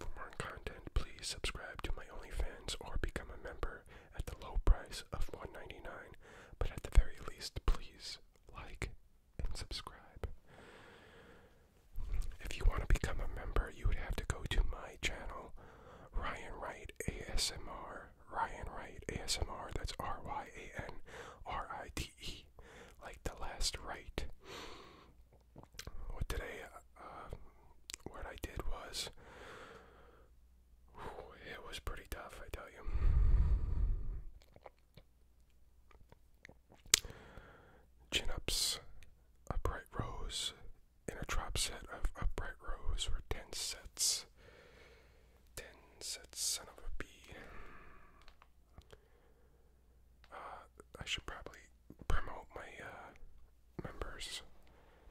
For more content, please subscribe to my OnlyFans or become a member at the low price of $1.99. But at the very least, please like and subscribe. If you want to become a member, you would have to go to my channel, Ryan Wright ASMR. Ryan Wright ASMR, that's R Y A N R I T E, like the last right what today, um, what I did was, it was pretty tough, I tell you. Chin ups, upright rows, in a set of upright rows were 10 sets. 10 sets, son of a uh, I should probably promote my uh, members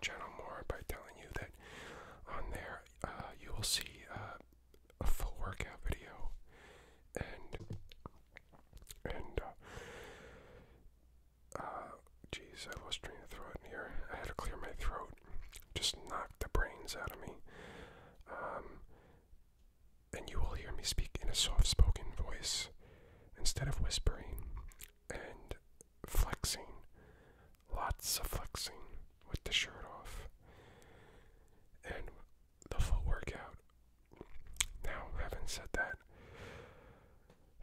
channel more by telling you that on there uh, you will see a full workout video and and uh, I lost train throat in here I had to clear my throat just knocked the brains out of me um, and you will hear me speak in a soft spoken voice Instead of whispering and flexing, lots of flexing with the shirt off and the full workout. Now, having said that,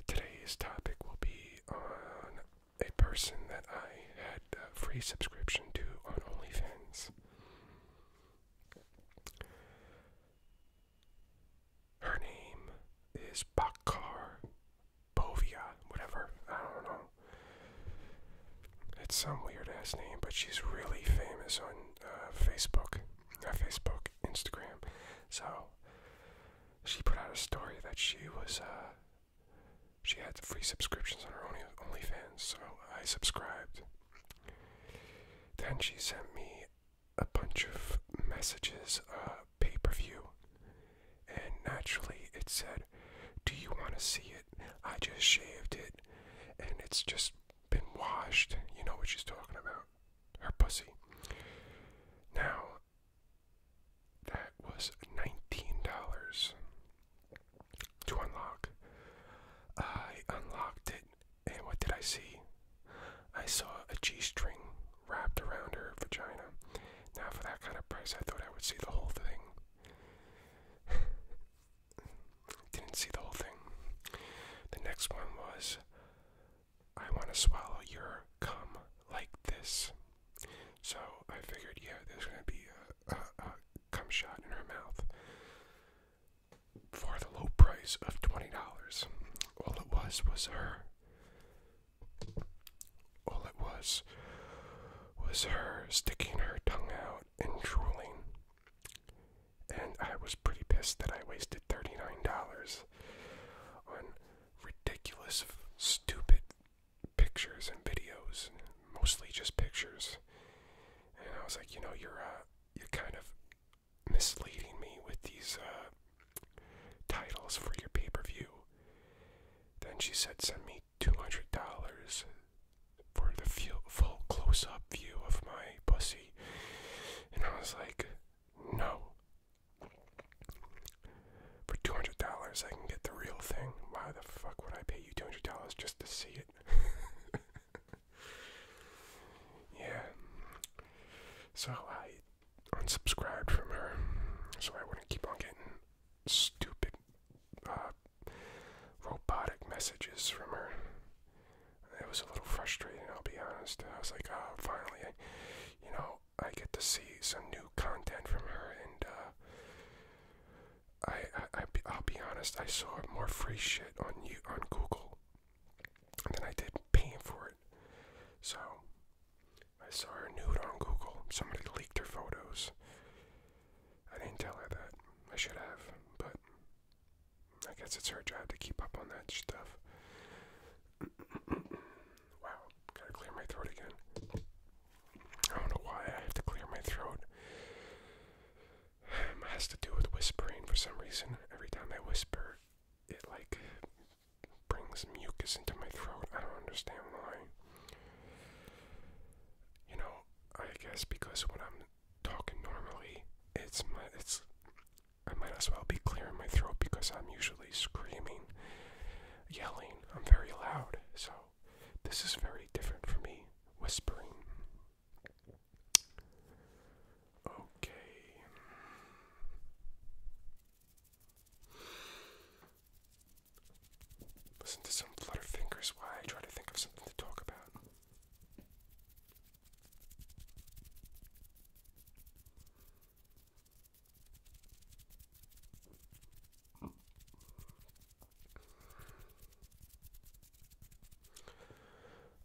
today's topic will be on a person that I had a free subscription to on OnlyFans. Her name is Bakar Bovia, whatever. I don't know. It's some weird ass name, but she's really famous on uh, Facebook, uh, Facebook, Instagram. So she put out a story that she was, uh, she had free subscriptions on her only OnlyFans, so I subscribed. Then she sent me a bunch of messages, uh, pay per view, and naturally it said, Do you want to see it? I just shaved it, and it's just been washed. You know what she's talking about. Her pussy. Now, that was $19 to unlock. I unlocked it and what did I see? I saw a G string wrapped around her vagina. Now, for that kind of price, I thought I would see the whole thing. Didn't see the whole thing. The next one was I want to swallow your cum like this. So I figured, yeah, there's going to be a, cum shot in her mouth for the low price of $20. All it was was her. All it was was her sticking her tongue out and drooling. And I was pretty pissed that I wasted $39 on ridiculous, stupid pictures and videos, mostly just pictures. And I was like, you know, you're uh, you're kind of misleading me with these uh, titles for your pay per view. Then she said, Send me $200 for the full close up view of my pussy. And I was like, No. For $200, I can get the real thing. Why the fuck would I pay you $200 just to see it? yeah. So I I unsubscribed from her so I wouldn't keep on getting stupid uh, robotic messages from her. It was a little frustrating, I'll be honest. I was like, oh, finally, you know, I get to see some new content from her, and uh, I, I, will be honest, I saw more free shit on you on Google than I did paying for it. So I saw her nude on Google. Somebody leaked her photos. I didn't tell her that. I should have, but I guess it's her job to keep up on that stuff. wow, gotta clear my throat again. I don't know why I have to clear my throat. has to do with whispering for some reason. Every time I whisper, it like brings mucus into my throat. I don't understand why. You know, I guess because when I'm talking normally, it's my it's I might as well be clearing my throat because I'm usually screaming, yelling. I'm very loud, so this is very different for me whispering. Okay. Listen to some flutterfingers while I try to think of something to talk about.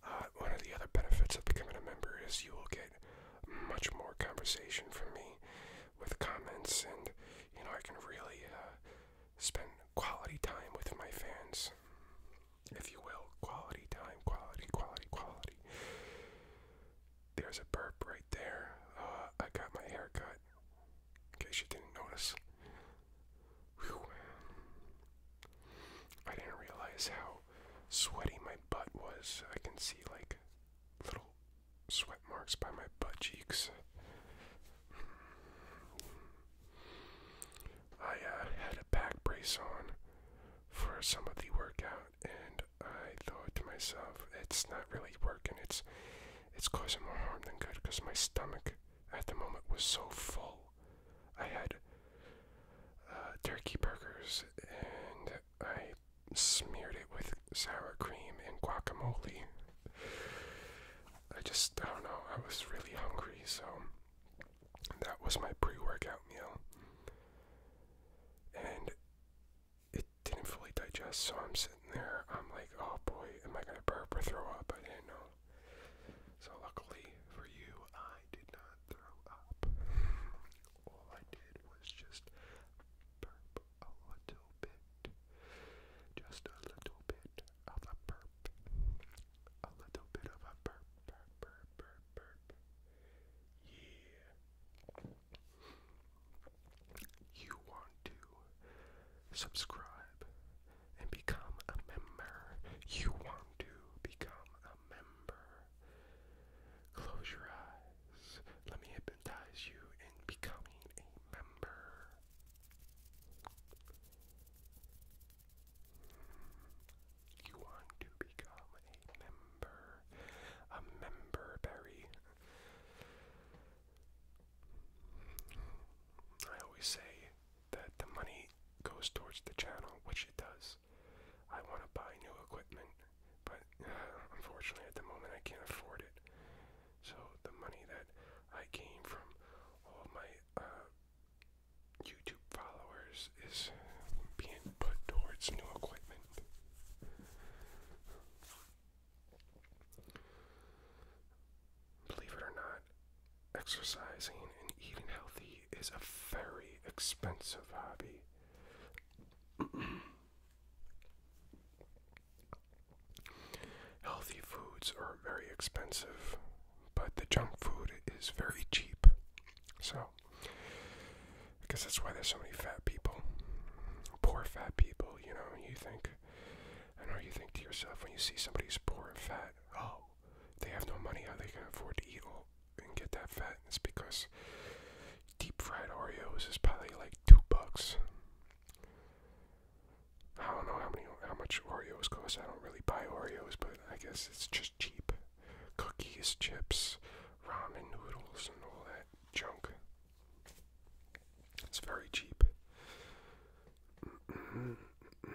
Uh, one of the other benefits of becoming a member is you will get much more conversation from me with comments, and you know, I can really uh, spend quality time with my fans, if you will. Quality time, quality, quality, quality. There's a burp right there. Uh, I got my haircut, in case you didn't notice. I didn't realize how sweaty my butt was. I can see like little sweat marks by my butt cheeks. I uh, had a back brace on for some of the workout, and I thought to myself, it's not really working. It's it's causing more harm than good because my stomach at the moment was so full. I had uh, turkey burgers and I smeared it with sour cream and guacamole. I just, don't know, I was really hungry, so that was my pre workout meal. And it didn't fully digest, so I'm sitting there, I'm like, oh boy, am I gonna burp or throw up? I didn't know. So, luckily for you, I did not throw up all I did was just a little bit. Just a little bit of a burp. A little bit of a burp, burp, burp, burp, burp. Yeah. You want to subscribe and become a member. You want to become a member. Close your eyes. Let me hypnotize you in becoming a member. You want to become a member. A member berry. I always say that the money goes towards the channel, which it does. I want to buy new equipment, but unfortunately at the moment I can't afford it. So the money that I gain from all my uh, YouTube followers is being put towards new equipment. Believe it or not, exercising and eating healthy is a very expensive hobby. Healthy foods are very expensive, but the junk food is very cheap. So, I guess that's why there's so many fat people. Poor fat people, you know, you think, I know you think to yourself when you see somebody's poor and fat, oh, they have no money, how they can afford to eat all, and get that fatness because deep fried Oreos is probably like two bucks. I don't know how many how much Oreos cost. I don't really buy Oreos, but I guess it's just cheap. Cookies, chips, ramen noodles, and all that junk. It's very cheap. Mm -mm, mm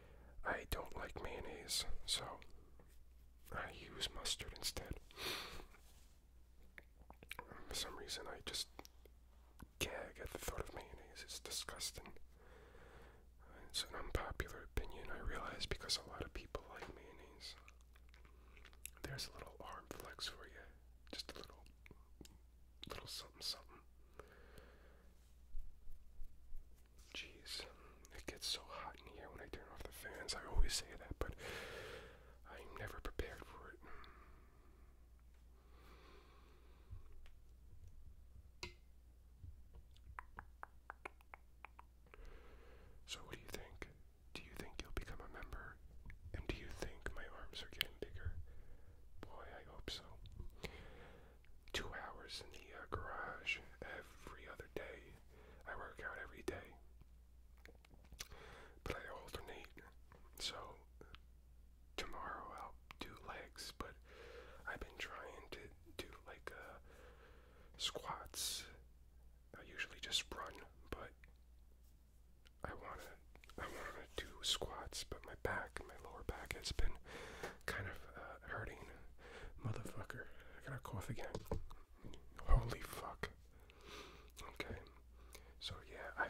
I don't like mayonnaise, so I use mustard instead. For some reason, I just gag at the thought of mayonnaise. It's disgusting. It's an unpopular opinion, I realize, because a lot of people like mayonnaise. There's a little arm flex for you. Just a little, little something, something. Jeez, it gets so hot in here when I turn off the fans. I always say that, but I'm never prepared for it. So, what do you think? Do you think you'll become a member? And do you think my arms are getting bigger? Boy, I hope so two hours in the uh, garage every other day. I work out every day, but I alternate. So tomorrow I'll do legs, but I've been trying to do like uh, squats. I usually just run, but I wanna I wanna do squats, but my back, my lower back has been kind of uh, hurting. Motherfucker. I gotta cough again. Holy fuck. Okay. So yeah, I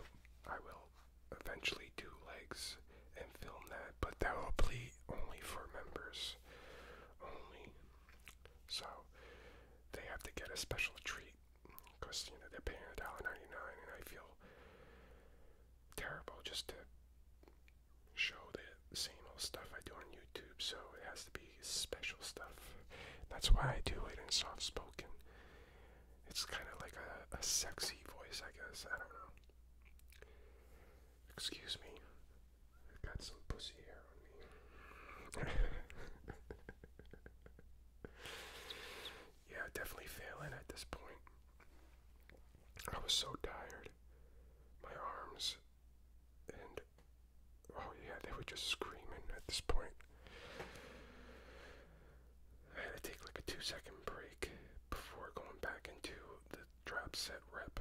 I will eventually do legs and film that, but that will be only for members only. So they have to get a special treat because you know they're paying a dollar ninety nine, and I feel terrible just to show the same old stuff I do on YouTube, so it has to be special stuff. That's why I do it in soft spoken. It's kind of like a, a sexy voice, I guess. I don't know. Excuse me. I've got some pussy hair on me. yeah, definitely failing at this point. I was so tired. My arms and oh yeah, they were just screaming at this point. I had to take like a two second break before going back into the drop set rep.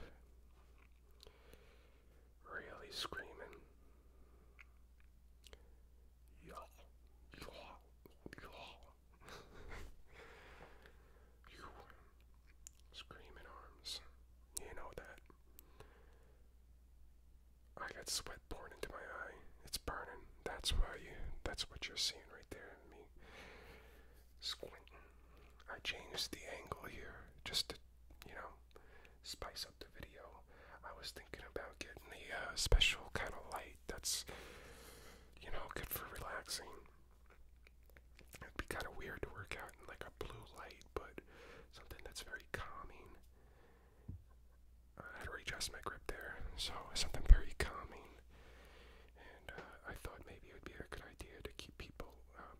Really screaming. Y'all, y'all, y'all. Screaming arms. You know that. I got sweat pouring into my eye. It's burning. That's why you that's what you're seeing right there in me. Squinting. I changed the angle here just to, you know, spice up the video. I was thinking about getting a uh, special kind of light that's, you know, good for relaxing. It'd be kind of weird to work out in like a blue light, but something that's very calming. I had to readjust my grip there, so something very calming. And uh, I thought maybe it would be a good idea to keep people, um,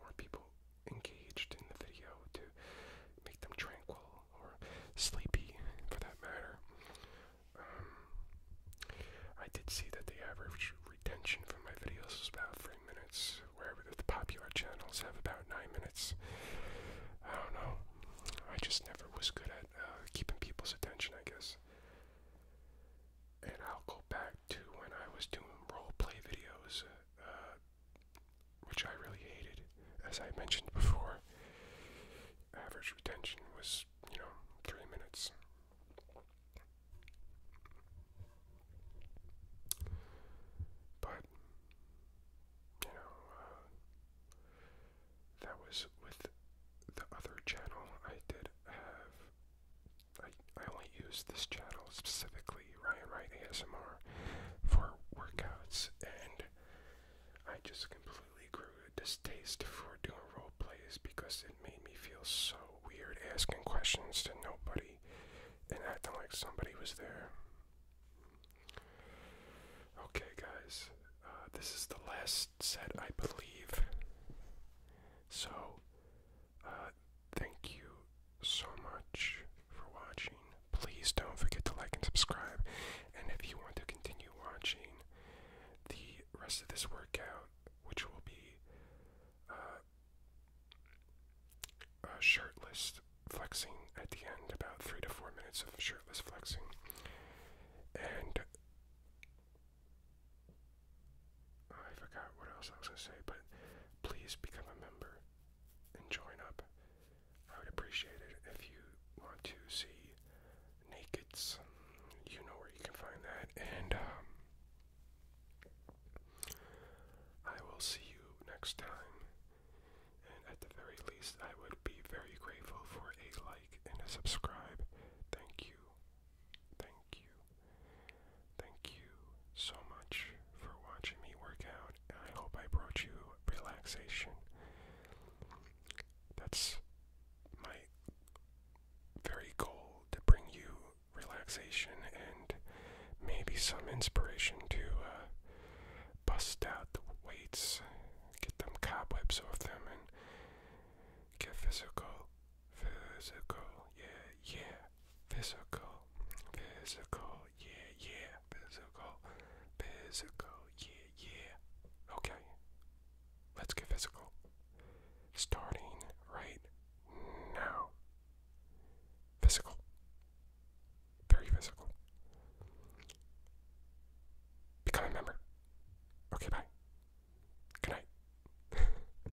more people engaged in the video to make them tranquil or sleepy for that matter. Um, I did see that the average retention for my videos was about three minutes, wherever the popular channels have about nine minutes. I don't know. I just never was good at uh, keeping people's attention, I guess. And I'll go back to when I was doing role play videos, uh, which I really hated. As I mentioned before, average retention was, you know, three minutes. But, you know, uh, that was with the other channel I did have. I, I only use this channel specifically, Ryan Wright ASMR, for workouts, and I just completely grew a distaste for doing role plays because it made me feel so weird asking questions to nobody and acting like somebody was there. Okay, guys, uh, this is the last set, I believe. So, uh, thank you so much for watching. Please don't forget to like and subscribe. And if you want to continue watching the rest of this workout, which will be uh, shirtless flexing at the end, about three to four minutes of shirtless flexing. And I forgot what else I was going to say, but please become a member and join up. I would appreciate it if you want to see Nakeds. You know where you can find that. And um, I will see you next time, and at the very least, I would be very grateful for a like and a subscribe. Thank you, thank you, thank you so much for watching me work out. I hope I brought you relaxation. That's my very goal to bring you relaxation and maybe some inspiration to uh, bust out the weights, get them cobwebs off them, and get physical, physical, yeah, yeah, physical, physical, yeah, yeah, physical, physical, yeah, yeah. Okay, let's get physical starting right now. Physical. Very physical. Become a member. Okay, bye. Good night.